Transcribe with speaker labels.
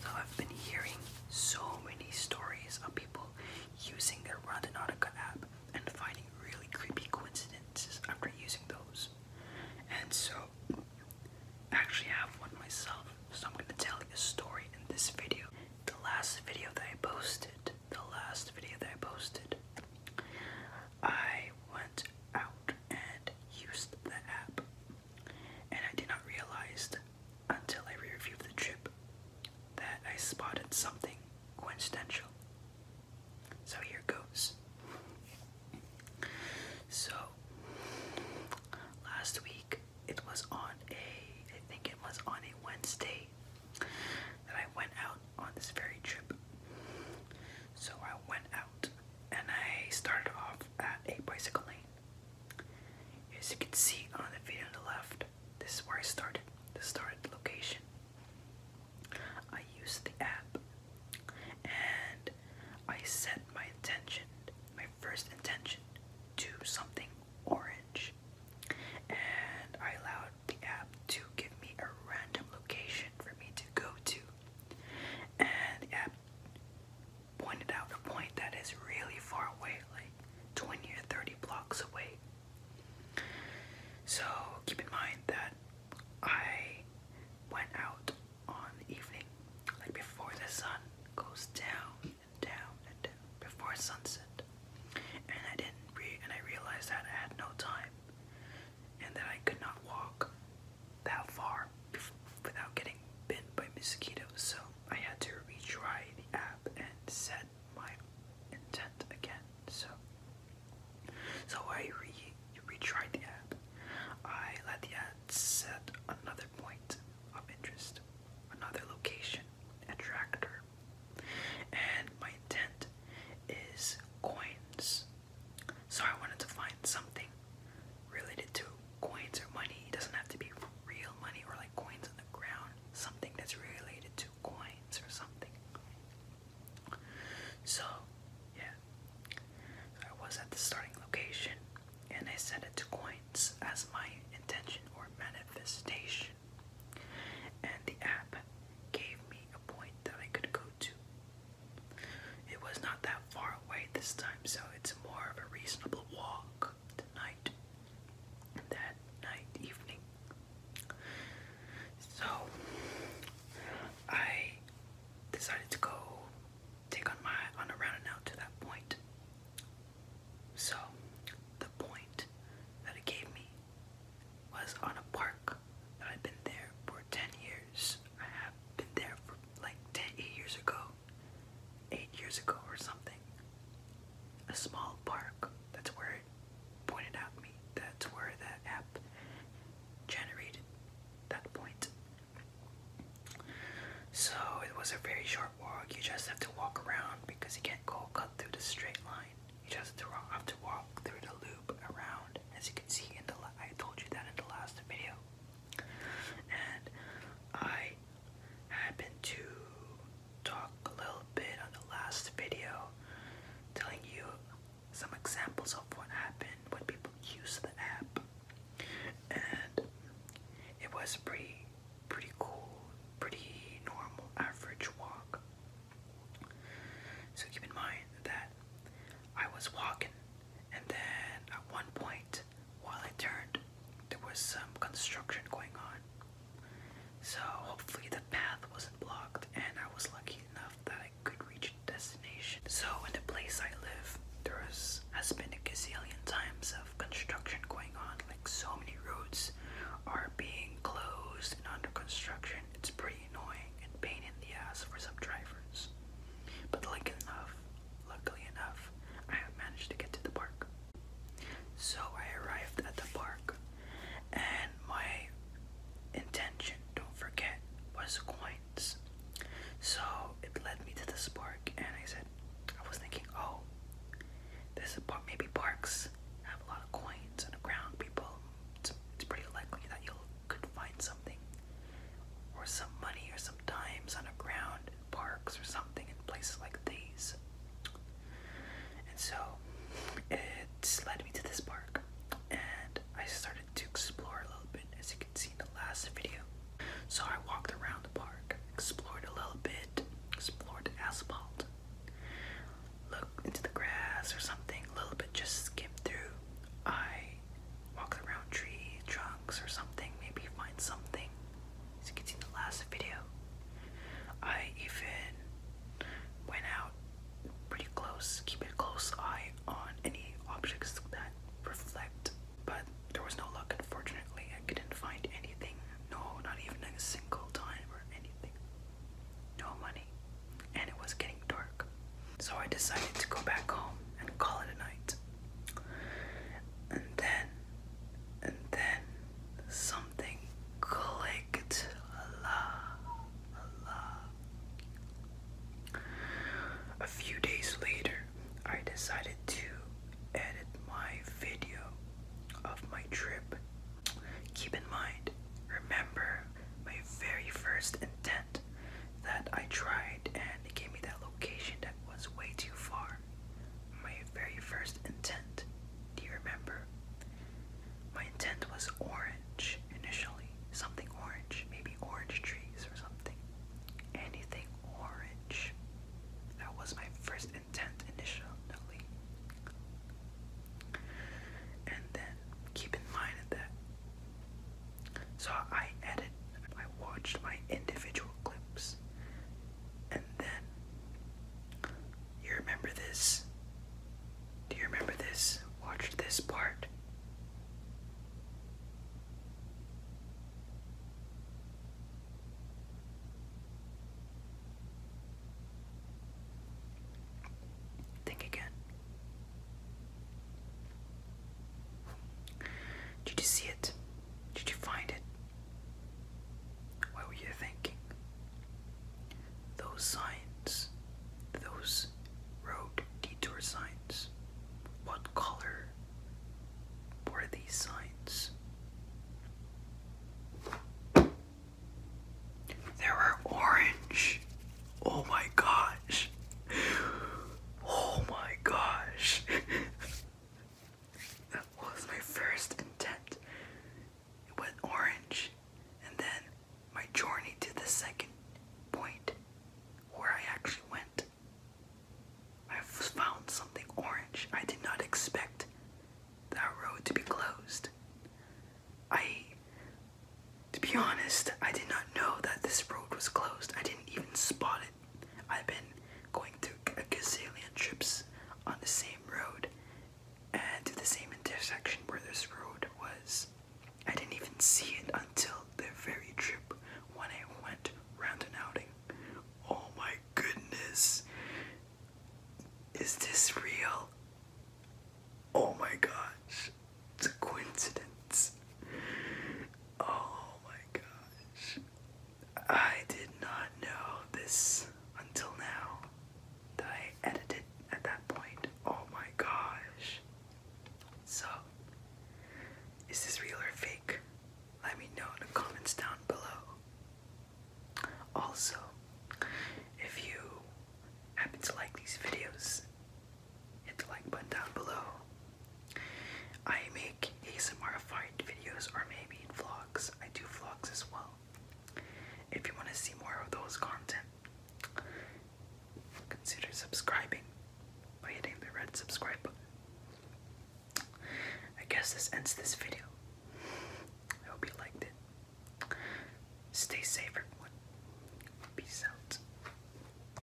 Speaker 1: So I've been hearing so many stories of people using their Randonautica app and finding really creepy coincidences after using those. And so I actually have one myself, so I'm gonna tell you a story in this video. The last video that I posted, the last video that I posted, I went out and used the app and I did not realize until I reviewed the trip that I spotted something coincidental. So here goes. So last week it was on a I think it was on a Wednesday that I went out on this very trip. So I went out and I started off at a bicycle lane. As you can see on the video on the left, this is where I started, the started location. I used the app and I set my intention, my first intention, to something orange. And I allowed the app to give me a random location for me to go to. And the app pointed out a point that is really far away, like 20 or 30 blocks away. So keep in mind that I went out on the evening, like before the sun goes down and down and down, before sunset. And I didn't re and I realized that I had no time and that I could not walk that far without getting bitten by mosquitoes, so I had to retry the app and set my intent again. So, so I re retried the app. I let the app set another point of interest, another location, attractor, and my intent is coins. So I wanted to find something related to coins or money. It doesn't have to be real money or like coins on the ground. Something that's related to coins or something. So, yeah. I was at the starting location and I set it to coins as my intention or manifestation. And the app gave me a point that I could go to. It was not that far away this time, so it's more of a reasonable walk tonight. That night, evening. So, I decided to go take on my on a round out to that point. So, the point that it gave me was on a park that I've been there for 10 years. I have been there for like 10 eight years ago eight years ago or something. A small park. That's where it pointed out me. That's where that app generated that point. So it was a very short walk. You just have to walk around because you can't go cut through the straight line. You just have to walk through the loop around. As you can see in the, I told you that in the last video and I happened to talk a little bit on the last video telling you some examples of what happened when people use the app and it was pretty pretty cool pretty normal average walk so keep in mind that I was walking and then at one point while I turned, there was some construction going on. So hopefully the path wasn't blocked and I was lucky enough that I could reach destination. So in the place I live, there has been a gazillion times of construction going on. Like so many roads are being closed and under construction. It's pretty annoying and pain in the ass for some drivers. But like enough, Luckily enough, I managed to get to the park. So I arrived at the park, and my intention, don't forget, was coins. So it led me to this park, and I said, I was thinking, oh, this park, maybe parks have a lot of coins on the ground. People, it's, pretty likely that you will find something or some money or some dimes on a ground in parks or something in places like these. And so it led me to this park and I started to explore a little bit as you can see in the last video. So I walked around the park, explored a little bit, explored asphalt, looked into the grass or something, a little bit just skimmed through. I walking around tree trunks or something, maybe find something. As you can see the last video, I even went out pretty close, keeping a close eye on any objects that reflect, but there was no luck unfortunately. I couldn't find anything, no, not even a single dime or anything. No money, and it was getting dark. So I decided to go back home and call it a night. And then, and then something clicked. A few days later, I decided to edit my video of my trip. Keep in mind, remember my very first attempt that I tried and it gave me that location that was way too far. My very first intent, do you remember? My intent was orange initially, something orange, maybe orange trees or something. Anything orange. That was my first intent initially. And then keep in mind that so I edited. I watched my individual clips, and then you remember this? Do you remember this? Watched this part. Think again. Did you see it? Did you find it? What were you thinking? Those signs, those road detour signs, what color were these signs? They were orange. Oh my gosh. Oh my gosh. that was my first intent. It went orange. And then my journey to the second point where I actually went. I found something orange. I did not expect that road to be closed. I, to be honest, I did not know that this road was closed. I didn't even spot it. I've been going to a gazillion trips on the same road and to the same intersection where this road was. I didn't even see it until the very trip when I went round an outing. Oh my goodness. Is this real? Oh my gosh. It's a coincidence. Oh my gosh. I did not know this until now that I edited at that point. Oh my gosh. So, is this real or fake? Let me know in the comments down below. Also, if you happen to like these videos, hit the like button down below. I make ASMR fight videos or maybe vlogs. I do vlogs as well. If you want to see more of those content, consider subscribing by hitting the red subscribe button. I guess this ends this video. I hope you liked it. Stay safe, everyone. Peace